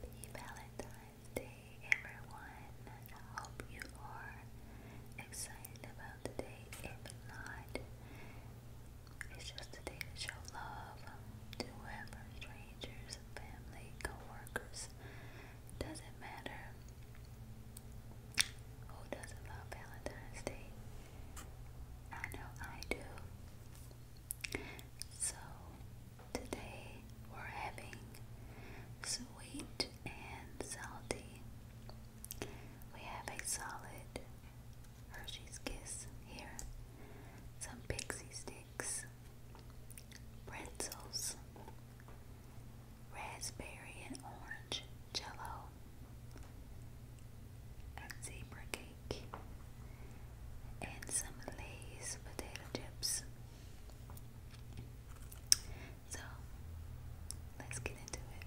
Happy Valentine's Day, everyone. hope you are excited about the day. If not, it's just a day to show love um, to whoever, strangers, family, co-workers. Doesn't matter. Who doesn't love Valentine's Day? I know I do. So today we're having sweet and salty. We have a solid Hershey's Kiss here, some pixie sticks, pretzels, raspberry and orange jello, a zebra cake and some Lay's potato chips. So let's get into it.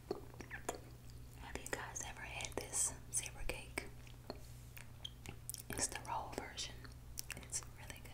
Have you guys ever had this zebra cake? It's the roll version. It's really good.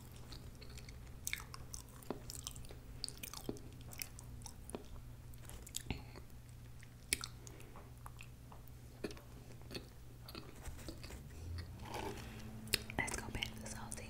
Let's go back to salty.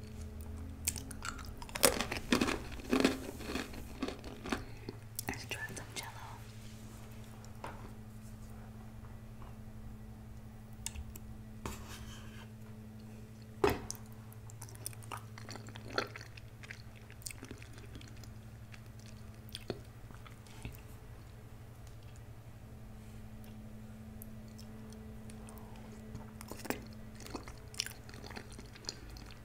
Let's try some jello.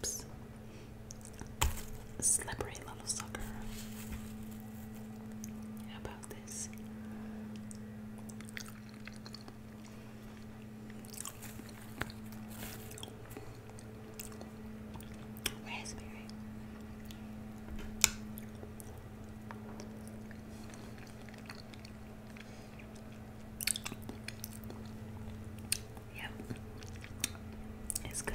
Oops. Slippery little sucker about Raspberry. Yep. It's good.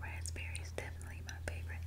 Raspberry is definitely my favorite.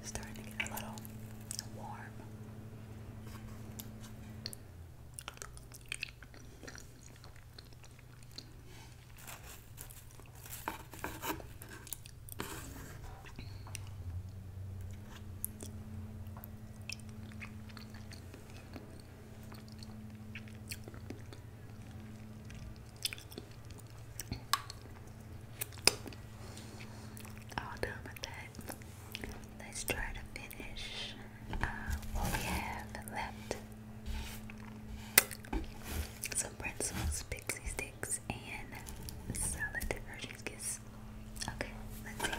It's starting to get a little warm. All done with that let's try to finish uh, what we have left. Some pretzels, pixie sticks, and salad Hershey's Okay, let's see.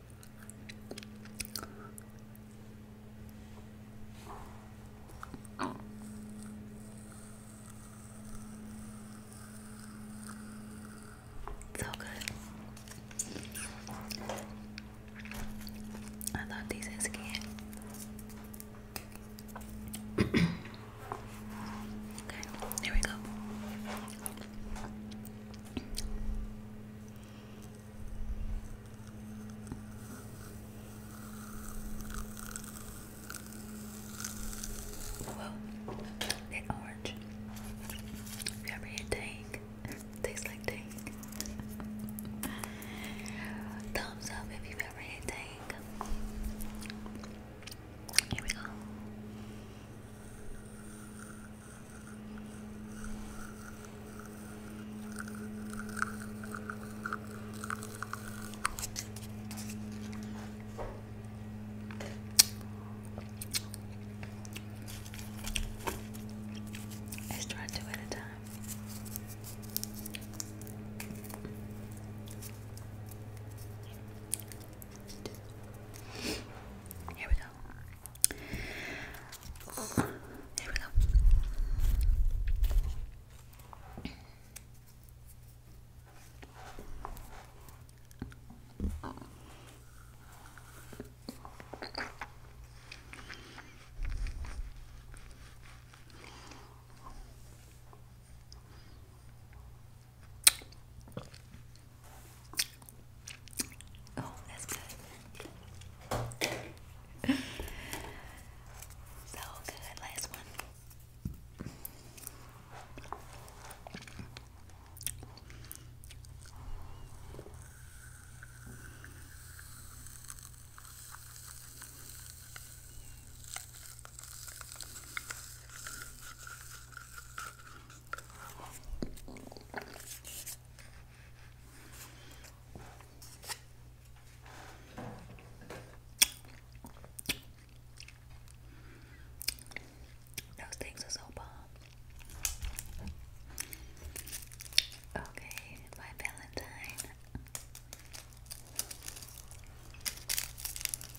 So good. I love these in okay, here we go. Well, an orange. If you ever tastes like dang. Thumbs up if you've ever had Here we go. Let's try two at a time. Here we go. Here we go. Oh, that's good. so good. Last one. Those things are so bomb. Okay, my Valentine.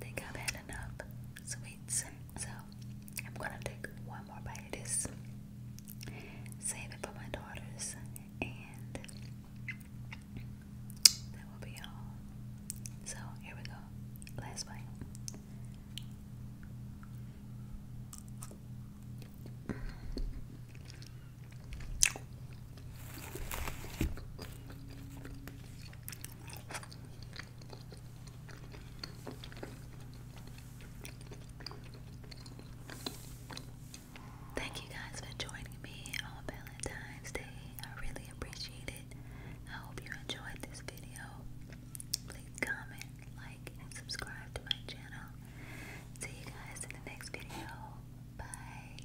Think of it enough sweets, so I'm gonna take one more bite of this, save it for my daughters, and that will be all. So here we go, last bite. Thank you guys for joining me on Valentine's Day. I really appreciate it. I hope you enjoyed this video. Please comment, like, and subscribe to my channel. See you guys in the next video. Bye.